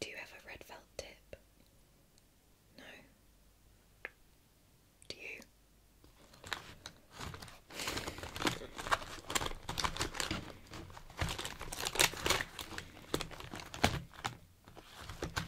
Do you have a red felt tip? No. Do you?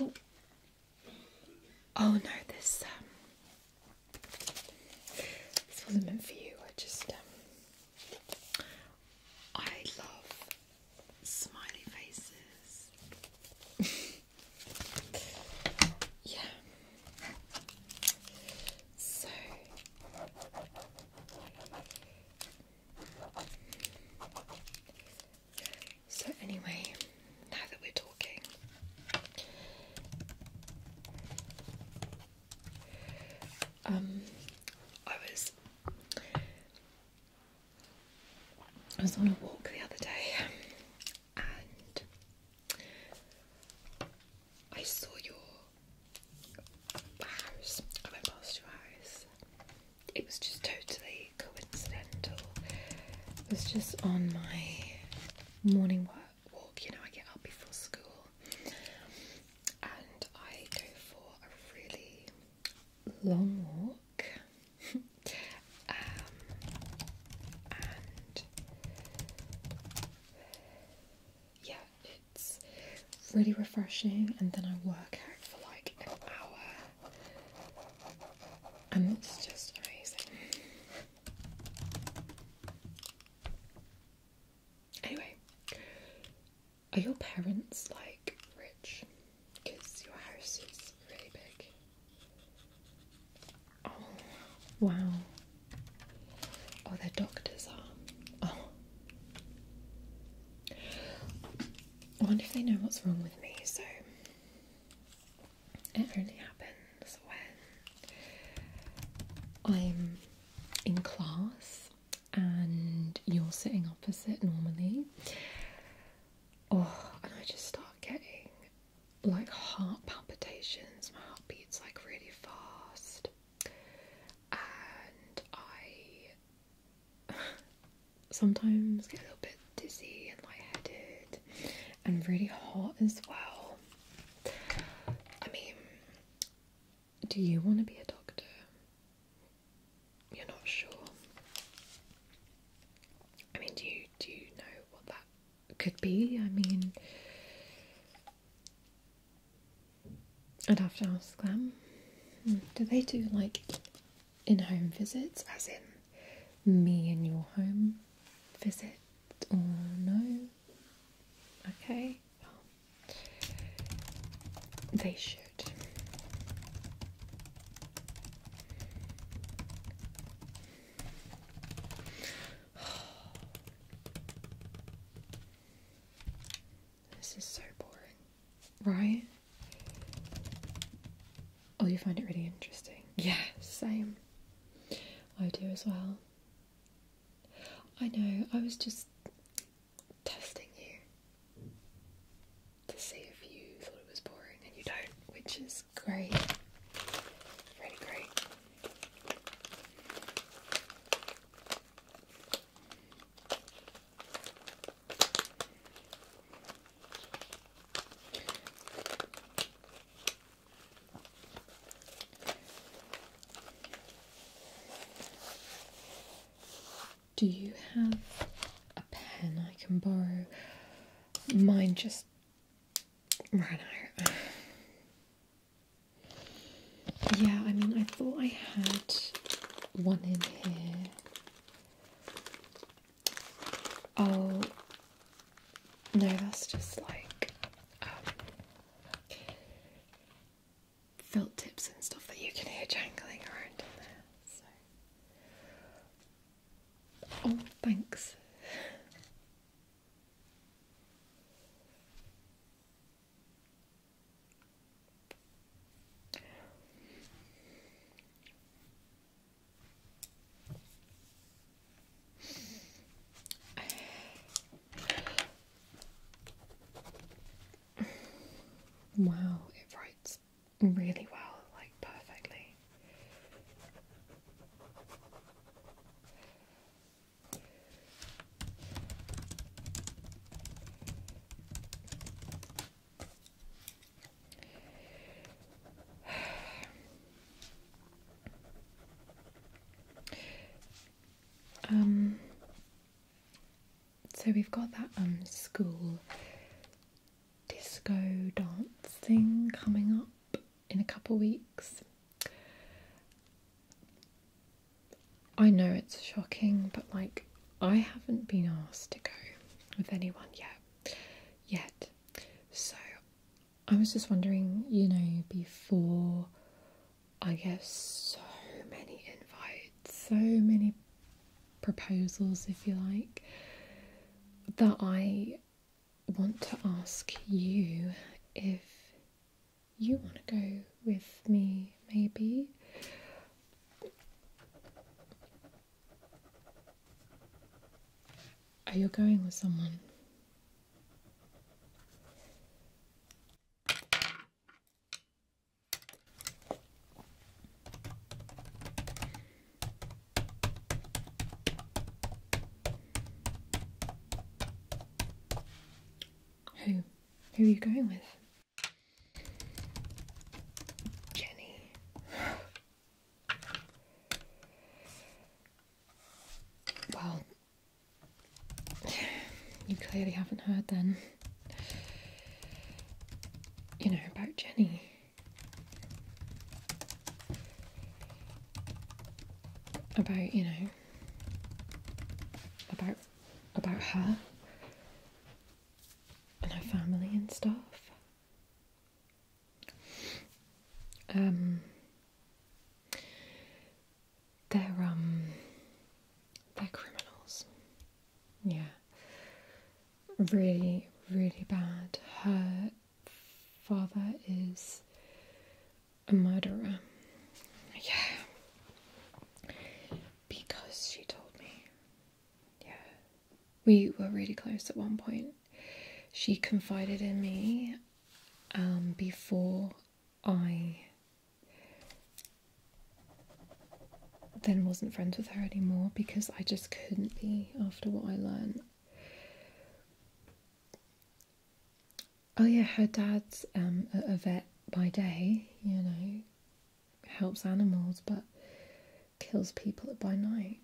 Oh, oh no, this um, this was meant for you. I just um, I love smiley faces. yeah. So. So, anyway, now that we're talking, um, I was I was on a walk the other day, and I saw your house, I went past your It was just totally coincidental. It was just on my morning work, walk, you know, I get up before school and I go for a really long walk. Um, and yeah, it's really refreshing, and then I work out for like an hour, and it's just amazing. Anyway, are your parents like rich? Because your house is really big. Oh, wow. Oh, they're doctors are. Oh, I wonder if they know what's wrong with me, so it only happens when I'm in class and you're sitting opposite normally. Oh, and I just start getting like heart palpitations, my heart beats like really fast, and I sometimes get a little bit dizzy and lightheaded and really hot as well. I mean, do you want to be a doctor? You're not sure. I mean, do you do you know what that could be? I mean, I'd have to ask them. Hmm, do they do like in home visits, as in me in your home visit, or no? Okay, they should. This is so boring. Right? Oh, you find it really interesting. Yeah, same. I do as well. I know, I was just testing you to see if you thought it was boring and you don't, which is great. Really great. Do you have a pen I can borrow? Mine just ran out. Yeah, I mean, I thought I had one in here. Oh, no, that's just like um, felt tips and stuff that you can hear jangling around in there. Oh, thanks. Wow, it writes really well, like perfectly um, so we've got that um school disco dance thing coming up in a couple weeks. I know it's shocking, but like, I haven't been asked to go with anyone yet. Yet. So, I was just wondering, you know, before I get so many invites, so many proposals, if you like, that I want to ask you if you want to go with me, maybe. Are you going with someone? Who? Who are you going with? Jenny. well, you clearly haven't heard then. You know about Jenny. About, you know, about about her and her family and stuff. Um, they're um, they're criminals. Yeah, really, really bad. Her father is a murderer. Yeah. Because she told me. Yeah. We were really close at one point. She confided in me um, before I then wasn't friends with her anymore because I just couldn't be after what I learned. Oh yeah, her dad's um, a vet by day, you know, helps animals, but kills people by night.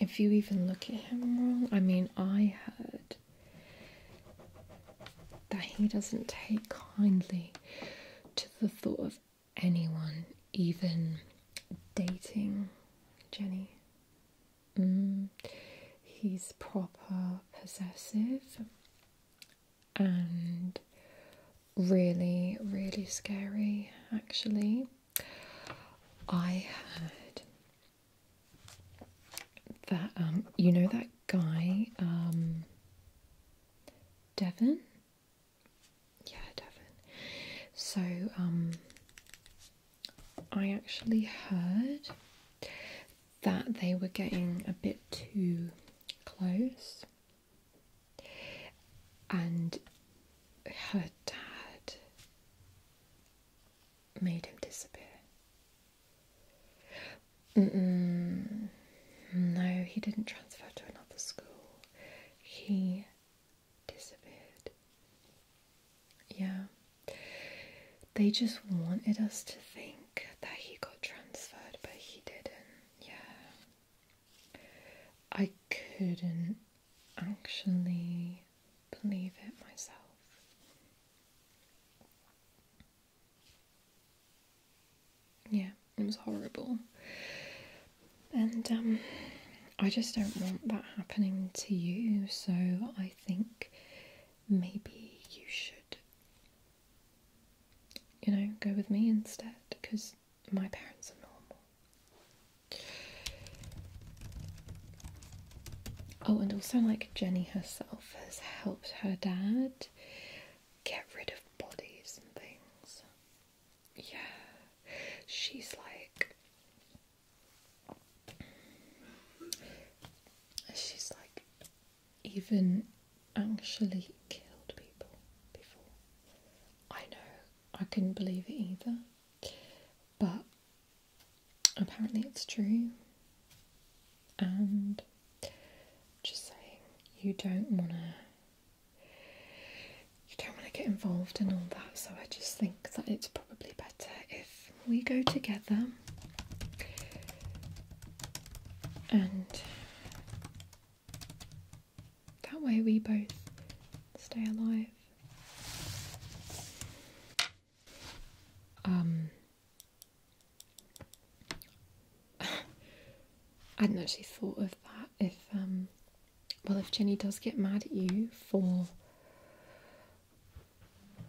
If you even look at him wrong, I mean, I heard that he doesn't take kindly to the thought of anyone, even dating Jenny. Mm, he's proper possessive and really, really scary actually. I heard that, um, you know, that guy, um, Devon? Yeah, Devon. So, um, I actually heard that they were getting a bit too close. And her dad made him disappear. No, he didn't transfer to another school. He disappeared. Yeah they just wanted us to think that he got transferred, but he didn't. Yeah. I couldn't actually believe it myself. Yeah, it was horrible. And um I just don't want that happening to you, so I think maybe you should you know, go with me instead because my parents are normal. Oh, and also, like, Jenny herself has helped her dad get rid of bodies and things. Yeah, she's like, she's like even actually killed people before. I know, I couldn't believe it either, but apparently it's true. And just saying, you don't want to. You don't want to get involved in all that, so I just think that it's probably better if we go together and that way we both stay alive. Um, I hadn't actually thought of that. If, um, well, if Jenny does get mad at you for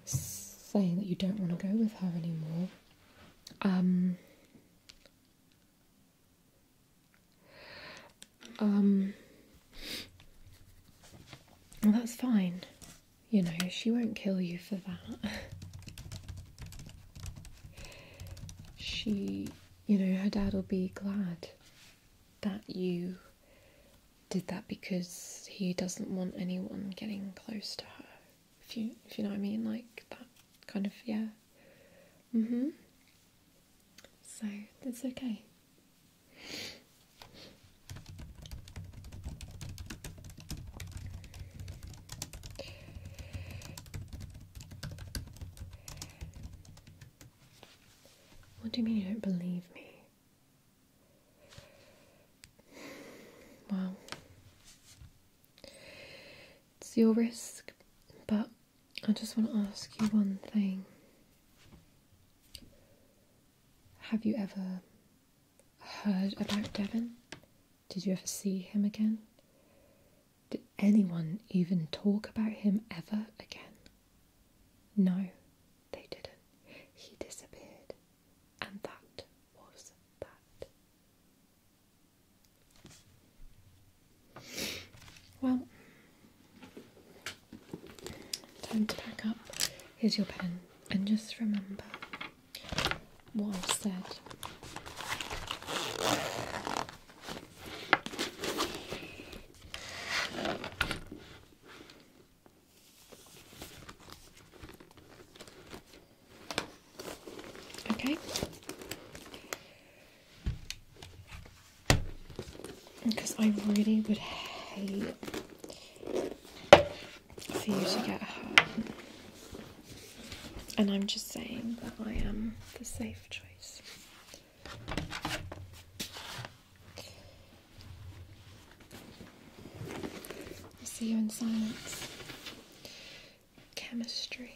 saying that you don't want to go with her anymore. Um, um, well, that's fine. You know, she won't kill you for that. she, you know, her dad will be glad that you did that because he doesn't want anyone getting close to her. If you if you know what I mean, like that kind of yeah. Mm-hmm. So it's okay. What do you mean you don't believe me? Wow. It's your risk, but I just want to ask you one thing. Have you ever heard about Devon? Did you ever see him again? Did anyone even talk about him ever again? No, they didn't. He disappeared. And that was that. Well, time to pack up. Here's your pen, and just remember what I've said. Okay. Because I really would hate for you to get hurt. And I'm just saying that I am the safe choice. I see you in silence. Chemistry.